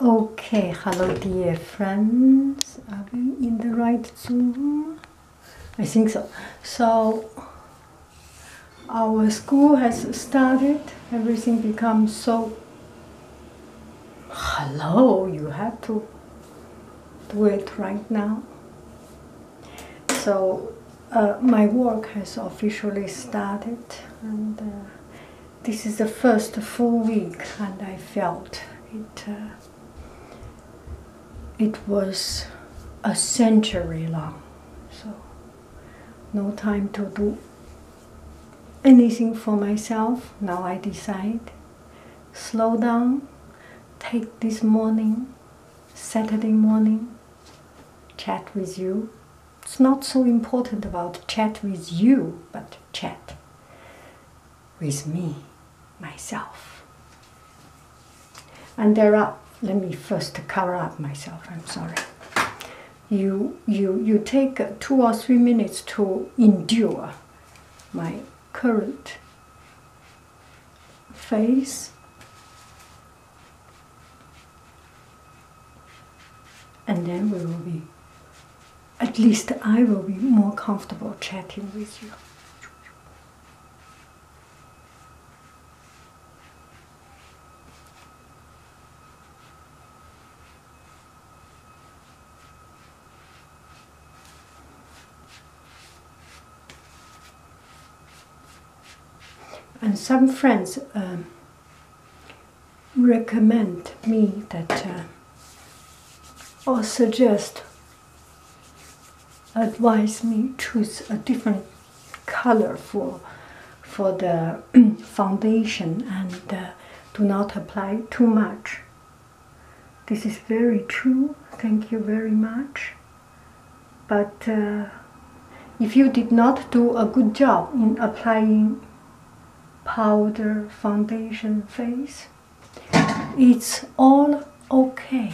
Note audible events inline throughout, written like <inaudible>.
Okay, hello dear friends. Are we in the right Zoom? I think so. So, our school has started. Everything becomes so. Hello, you have to do it right now. So, uh, my work has officially started and. Uh, this is the first full week and I felt it uh, it was a century long so no time to do anything for myself now I decide slow down take this morning Saturday morning chat with you it's not so important about chat with you, but chat with me, myself. And there are, let me first cover up myself, I'm sorry. You, you, you take two or three minutes to endure my current face and then we will be, at least I will be more comfortable chatting with you. and some friends um, recommend me that uh, or suggest advise me choose a different color for for the <clears throat> foundation and uh, do not apply too much this is very true thank you very much but uh, if you did not do a good job in applying powder foundation face it's all okay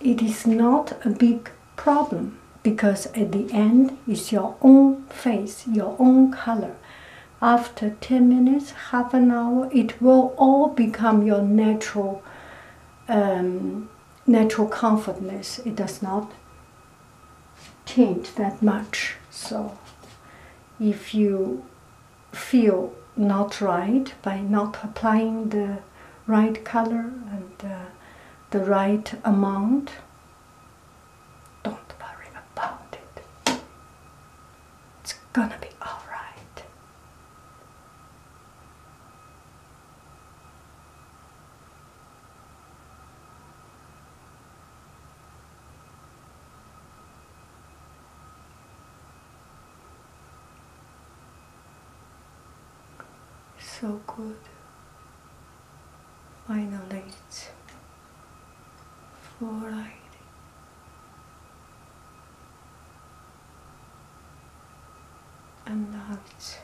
it is not a big problem because at the end it's your own face your own color after 10 minutes half an hour it will all become your natural um, natural comfortness, it does not change that much. So if you feel not right by not applying the right color and uh, the right amount, don't worry about it. It's gonna be alright so good. Final Finally, it's fluoride and now it's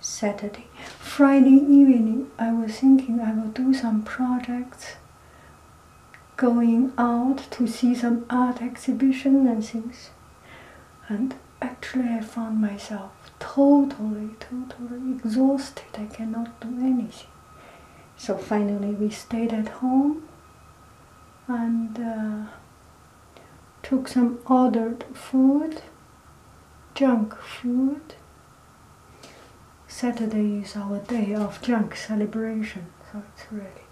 Saturday. Friday evening, I was thinking I will do some projects, going out to see some art exhibition and things. And actually, I found myself totally, totally exhausted. I cannot do anything. So finally, we stayed at home and uh, took some ordered food, junk food. Saturday is our day of junk celebration, so it's really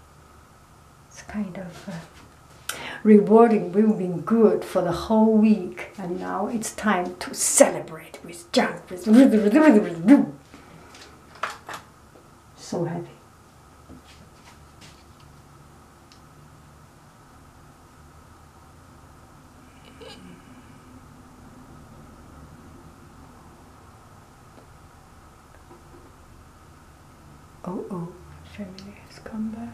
it's kind of uh, rewarding. We've been good for the whole week, and now it's time to celebrate with junk. so happy. Oh oh, family has come back.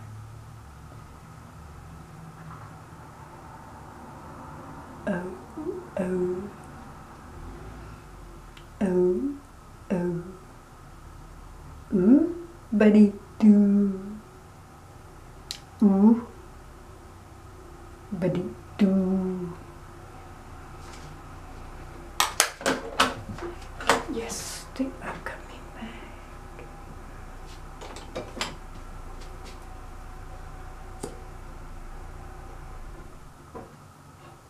Oh oh. Oh oh. oh. Ooh, buddy do. Ooh, buddy do. Yes, they are coming back.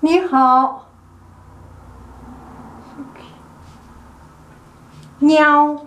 你好。你好。喵。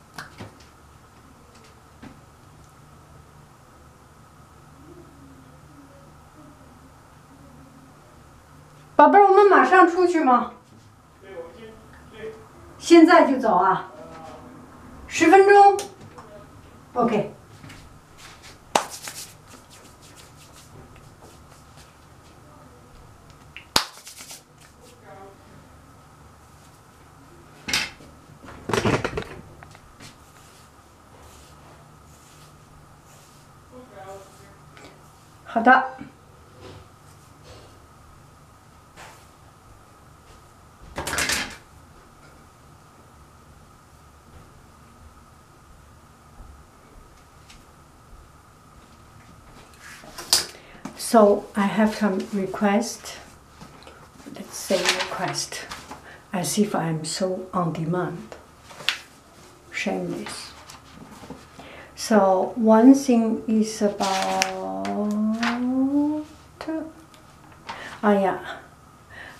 宝贝儿，我们马上出去吗？对，我们现在就走啊！十分钟，OK。肌 So I have some requests that same request as if I am so on demand. Shameless. So one thing is about ah yeah,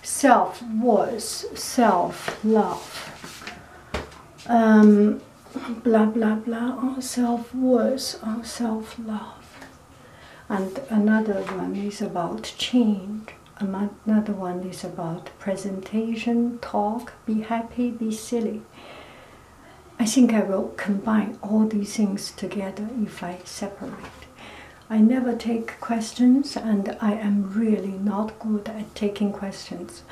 self worth, self love. Um, blah blah blah oh, self worth, oh, self love and another one is about change another one is about presentation talk be happy be silly i think i will combine all these things together if i separate i never take questions and i am really not good at taking questions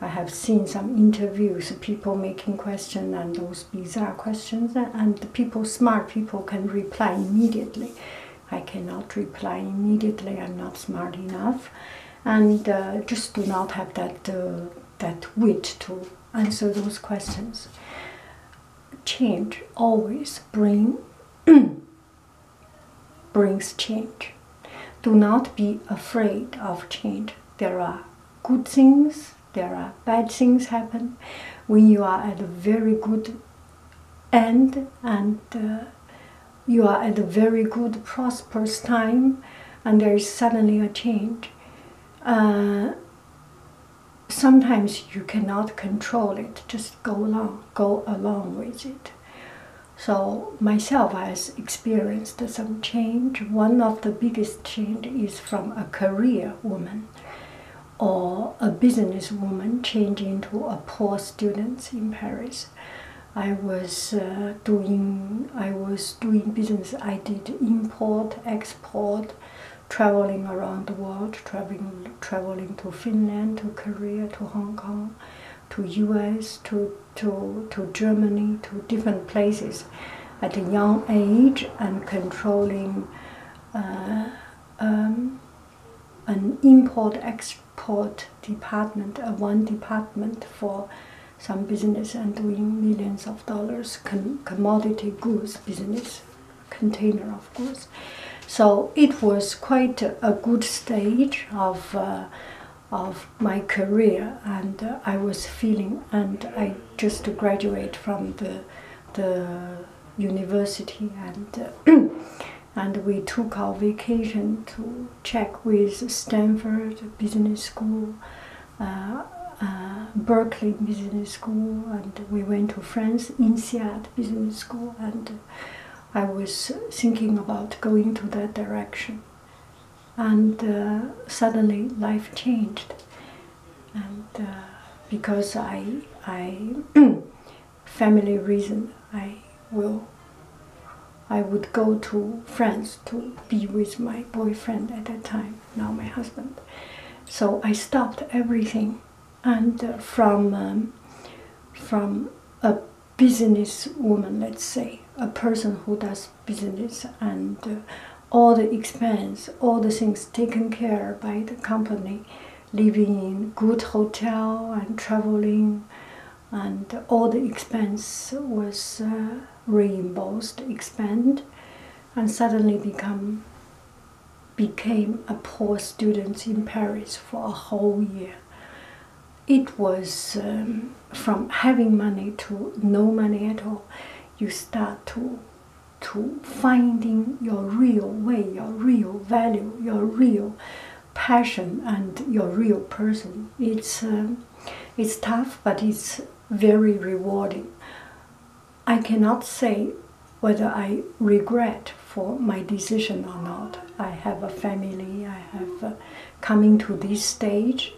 i have seen some interviews people making questions and those bizarre questions, and the people, smart people, can reply immediately. I cannot reply immediately. I'm not smart enough, and uh, just do not have that uh, that wit to answer those questions. Change always bring <clears throat> brings change. Do not be afraid of change. There are good things there are bad things happen when you are at a very good end and uh, you are at a very good prosperous time and there is suddenly a change uh, sometimes you cannot control it just go along go along with it so myself i experienced some change one of the biggest change is from a career woman or a business woman, changing to a poor student in Paris. I was uh, doing I was doing business. I did import, export, traveling around the world, traveling traveling to Finland, to Korea, to Hong Kong, to US, to to to Germany, to different places at a young age and controlling uh, um, an import export department, one department for some business and doing millions of dollars commodity goods business, container of course. So it was quite a, good stage of. Uh, of my career and uh, I was feeling and I just to graduate from the the university and uh, <clears throat> and we took our vacation to check with Stanford Business School, uh, uh, Berkeley Business School, and we went to France, INSEAD Business School, and I was thinking about going to that direction and uh, suddenly life changed and uh, because i i <clears throat> family reason i will i would go to france to be with my boyfriend at that time now my husband so i stopped everything and uh, from um, from a business woman let's say a person who does business and uh, all the expense, all the things taken care by the company, living in good hotel and traveling, and all the expense was uh, reimbursed, expand, and suddenly become became a poor student in Paris for a whole year. It was um, from having money to no money at all you start to to finding your real way, your real value, your real passion, and your real person. It's uh, it's tough, but it's very rewarding. I cannot say whether I regret for my decision or not. I have a family. I have uh, coming to this stage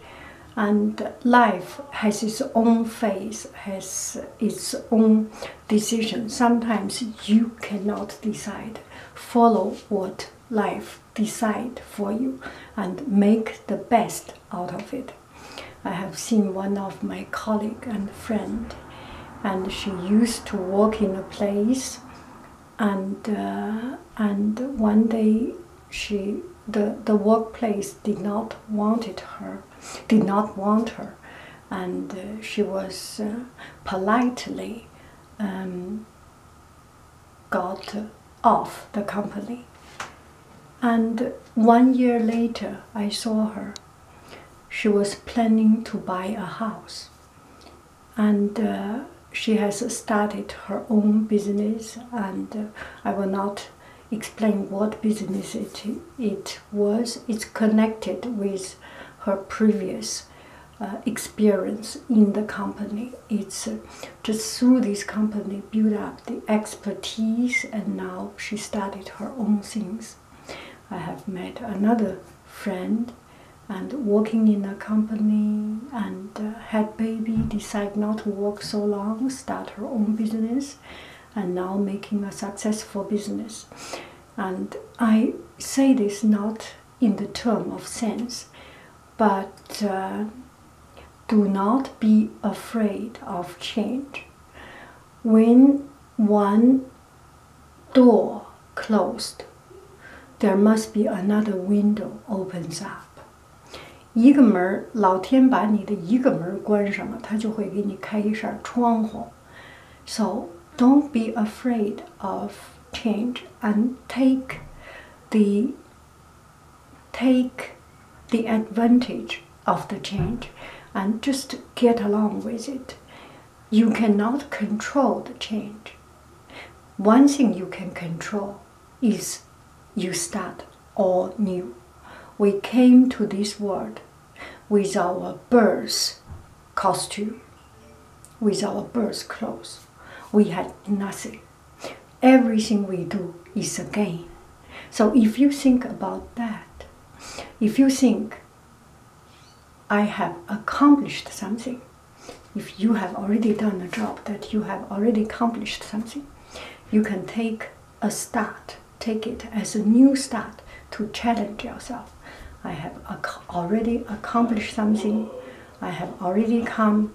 and life has its own face, has its own decision. Sometimes you cannot decide. Follow what life decide for you and make the best out of it. I have seen one of my colleague and friend, and she used to walk in a place, and uh, and one day she the the workplace did not wanted her, did not want her, and uh, she was uh, politely um, got off the company. And one year later, I saw her. She was planning to buy a house, and. Uh, she has started her own business and i will not explain what business it, it was. It's connected with her previous uh, experience in the company. It's uh, through this company build up the expertise, and now she started her own things. I have met another friend and working in a company and uh, had baby, decide not to work so long, start her own business, and now making a successful business. And I say this not in the term of sense, but uh, do not be afraid of change. When one door closed, there must be another window opens up. 一个门儿，老天把你的一个门儿关上了，他就会给你开一扇窗户。So don't be afraid of change and take the take the advantage of the change and just get along with it. You cannot control the change. One thing you can control is you start all new. We came to this world with our birth costume, with our birth clothes. We had nothing. Everything we do is a gain. So if you think about that, if you think, I have accomplished something, if you have already done a job that you have already accomplished something, you can take a start, take it as a new start to challenge yourself. I have already accomplished something. I have already come,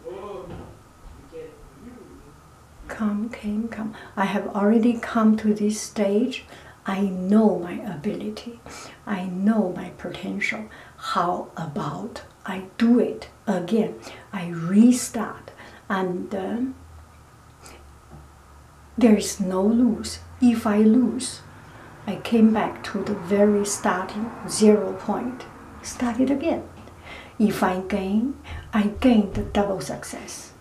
come, came, come. I have already come to this stage. I know my ability. I know my potential. How about I do it again. I restart, and um, there is no lose. If I lose, I came back to the very starting zero point, Start it again. If I gain, I gain the double success.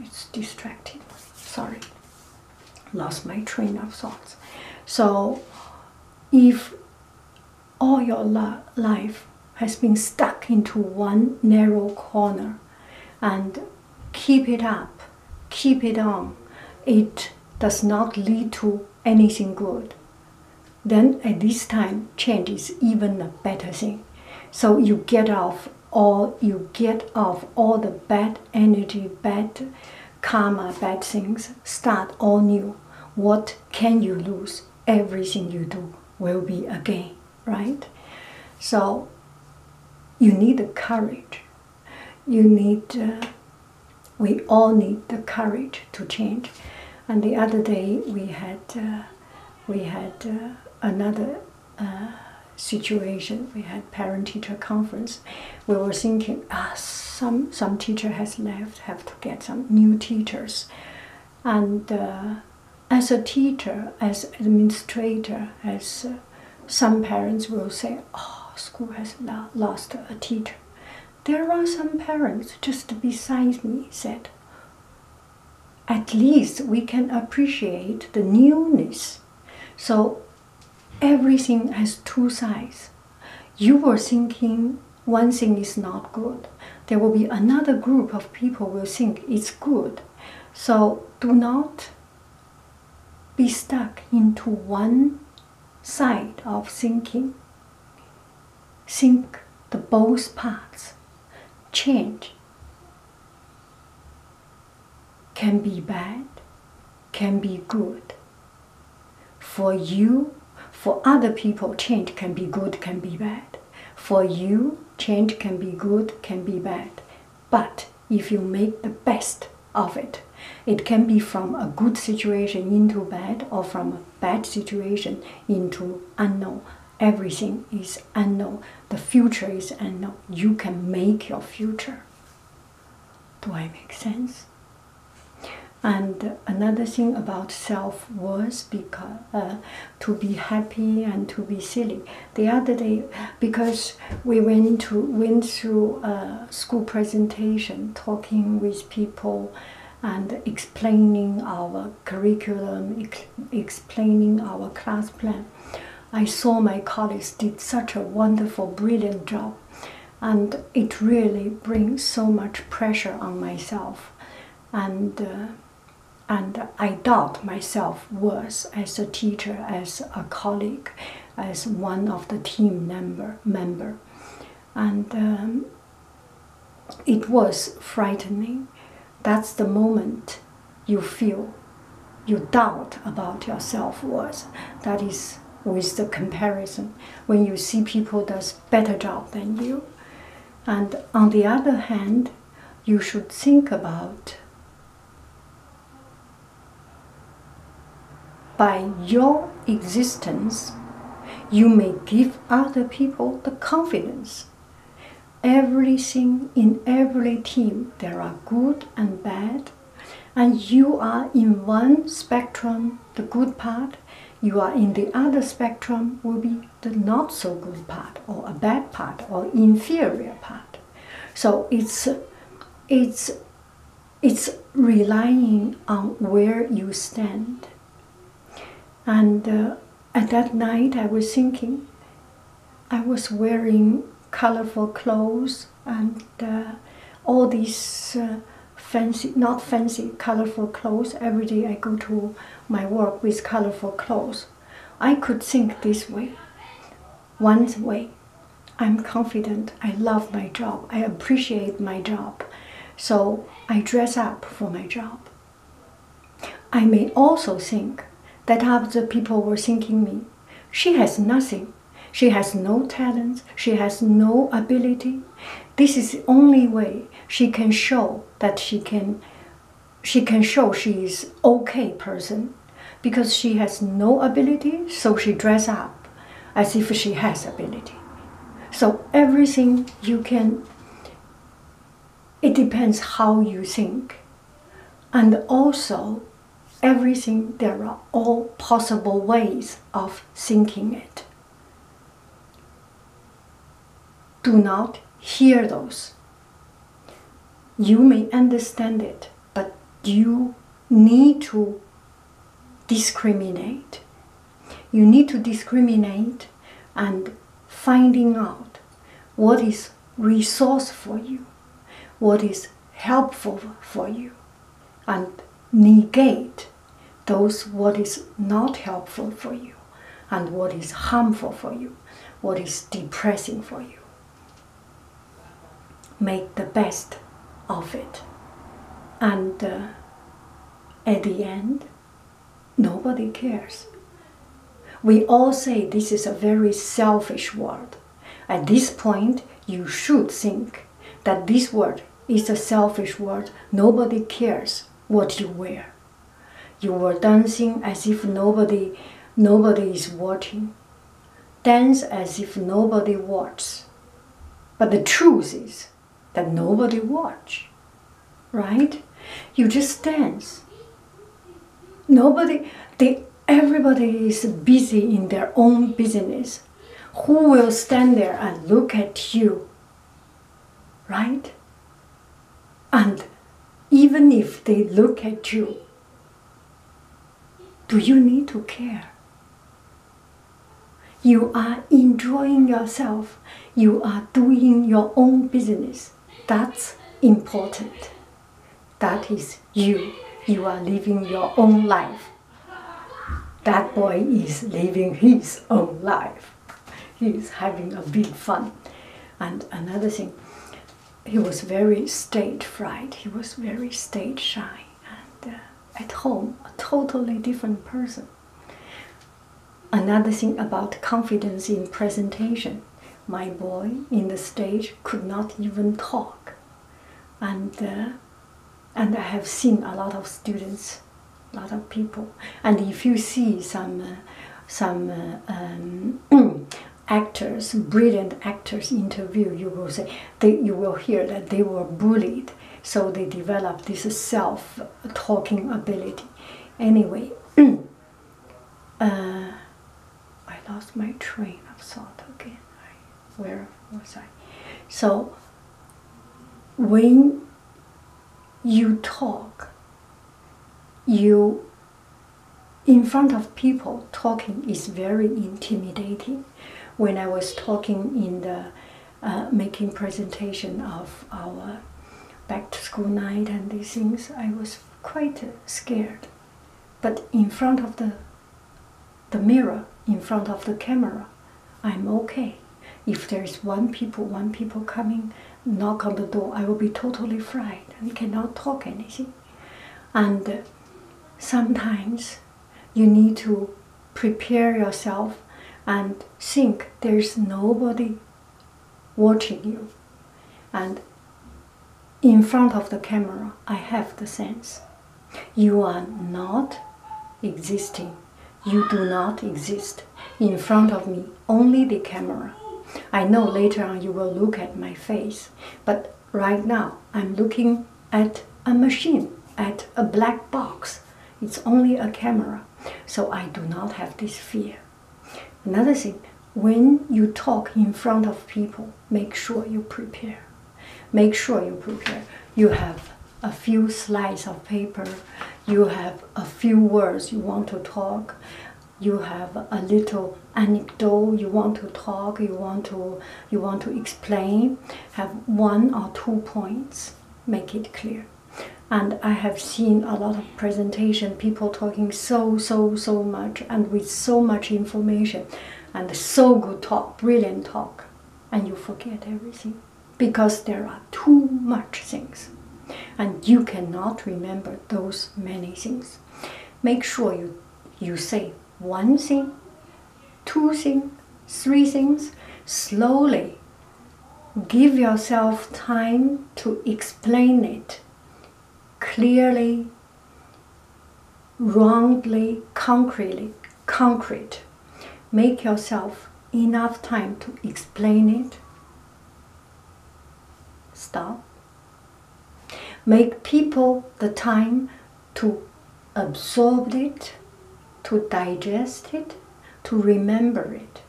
It's distracting. Sorry, lost my train of thoughts. So, if all your life has been stuck into one narrow corner and keep it up, keep it on, it does not lead to anything good. Then at this time, change is even a better thing. So you get off all you get off all the bad energy, bad karma, bad things. Start all new. What can you lose? Everything you do will be a gain, right? So you need the courage. You need, uh, we all need the courage to change. And the other day we had, uh, we had uh, another situation. We had parent-teacher conference. We were thinking, ah, some some teacher has left, have to get some new teachers. And uh, as a teacher, as administrator, as uh, some parents will say, oh, school has lost a teacher. There are some parents just beside me said, at least we can appreciate the newness. So everything has two sides. You were thinking one thing is not good. There will be another group of people will think it's good. So do not be stuck into one side of thinking. Think the both parts. Change can be bad, can be good. For you, for other people, change can be good, can be bad. For you, change can be good, can be bad. But if you make the best of it, it can be from a good situation into bad or from a bad situation into unknown. Everything is unknown. The future is unknown. You can make your future. Do I make sense? And another thing about self was because uh, to be happy and to be silly. The other day, because we went to went through uh, school presentation, talking with people, and explaining our curriculum, explaining our class plan. I saw my colleagues did such a wonderful, brilliant job and it really brings so much pressure on myself and uh, and I doubt myself worse as a teacher, as a colleague, as one of the team member member, and um, it was frightening. That's the moment you feel you doubt about yourself self worth. That is with the comparison when you see people does better job than you and on the other hand you should think about by your existence you may give other people the confidence everything in every team there are good and bad and you are in one spectrum the good part, you are in the other spectrum will be the not so good part or a bad part or inferior part. So it's it's it's relying on where you stand. And uh, at that night, I was thinking, I was wearing colorful clothes, and uh, all these uh, fancy, not fancy, colorful clothes. Every day I go to my work with colorful clothes. I could think this way, one way. I'm confident, I love my job, I appreciate my job, so I dress up for my job. I may also think that other people were thinking me, she has nothing, she has no talents, she has no ability. This is the only way she can show that she can she can show she is okay person because she has no ability, so she dress up as if she has ability. So everything you can it depends how you think. And also everything there are all possible ways of thinking it. Do not hear those. You may understand it, but you need to discriminate. You need to discriminate and finding out what is resource for you, what is helpful for you and negate those what is not helpful for you and what is harmful for you, what is depressing for you. Make the best of it. And uh, at the end, nobody cares. We all say this is a very selfish world. At this point, you should think that this world it's a selfish word. Nobody cares what you wear. You were dancing as if nobody, nobody is watching. Dance as if nobody watches. But the truth is that nobody watch, right? You just dance. Nobody, they, everybody is busy in their own business. Who will stand there and look at you? Right? And even if they look at you, do you need to care? You are enjoying yourself. You are doing your own business. That's important. That is you. You are living your own life. That boy is living his own life. He is having a big fun. And another thing, he was very stage fright. He was very stage shy. And uh, at home, a totally different person. Another thing about confidence in presentation. My boy in the stage could not even talk. And uh, and I have seen a lot of students, a lot of people. And if you see some, uh, some uh, um, <clears throat> actors, brilliant actors interview, you will say you will hear that they were bullied, so they developed this self-talking ability. Anyway, <clears throat> uh, I lost my train of thought again where was oh, I? So when you talk, you in front of people talking is very intimidating. When I was talking in the uh, making presentation of our back to school night and these things, I was quite scared. But in front of the the mirror in front of the camera, I'm okay. If there is one people, one people coming, knock on the door, I will be totally fried. and cannot talk anything. And uh, sometimes you need to prepare yourself and think there's nobody watching you. And in front of the camera, I have the sense. You are not existing. You do not exist in front of me, only the camera. I know later on you will look at my face, but right now I'm looking at a machine, at a black box. It's only a camera, so I do not have this fear. Another thing, when you talk in front of people, make sure you prepare. Make sure you prepare. You have a few slides of paper, you have a few words you want to talk, you have a little anecdote you want to talk, you want to you want to explain, have one or two points, make it clear. And I have seen a lot of presentation people talking so so so much and with so much information and so good talk, brilliant talk, and you forget everything because there are too much things and you cannot remember those many things. Make sure you, you say one thing, two thing, three things, slowly give yourself time to explain it clearly roundly, concretely, concrete. Make yourself enough time to explain it. Stop. Make people the time to absorb it, to digest it, to remember it,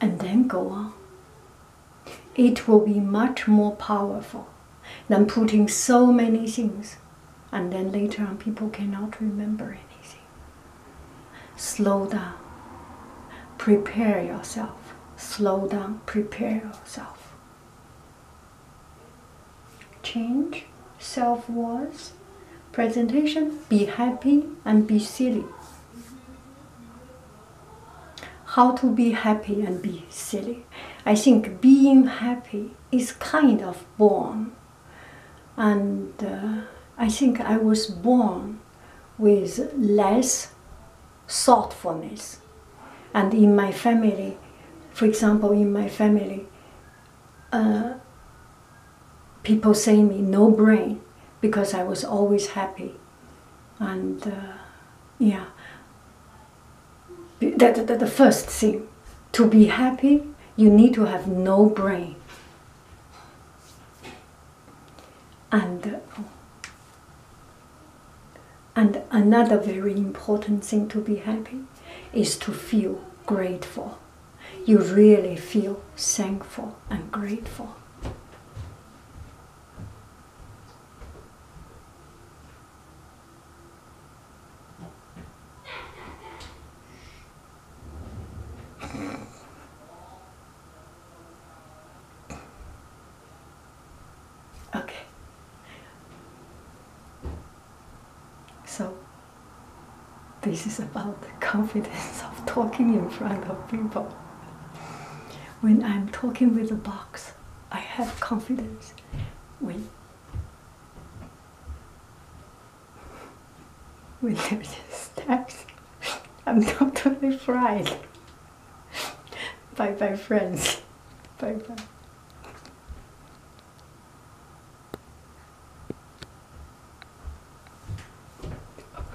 and then go on. It will be much more powerful. Then putting so many things, and then later on, people cannot remember anything. Slow down, prepare yourself. Slow down, prepare yourself. Change self worth, presentation, be happy and be silly. How to be happy and be silly. I think being happy is kind of born, and uh, I think I was born with less thoughtfulness. And in my family, for example, in my family, uh, people say me no brain because I was always happy. And uh, yeah, the, first thing to be happy you need to have no brain and and another very important thing to be happy is to feel grateful you really feel thankful and grateful okay. So, this is about the confidence of talking in front of people. When I'm talking with a box, I have confidence. We, When there's stacks, I'm totally fried. bye bye, friends. Bye bye. Oh,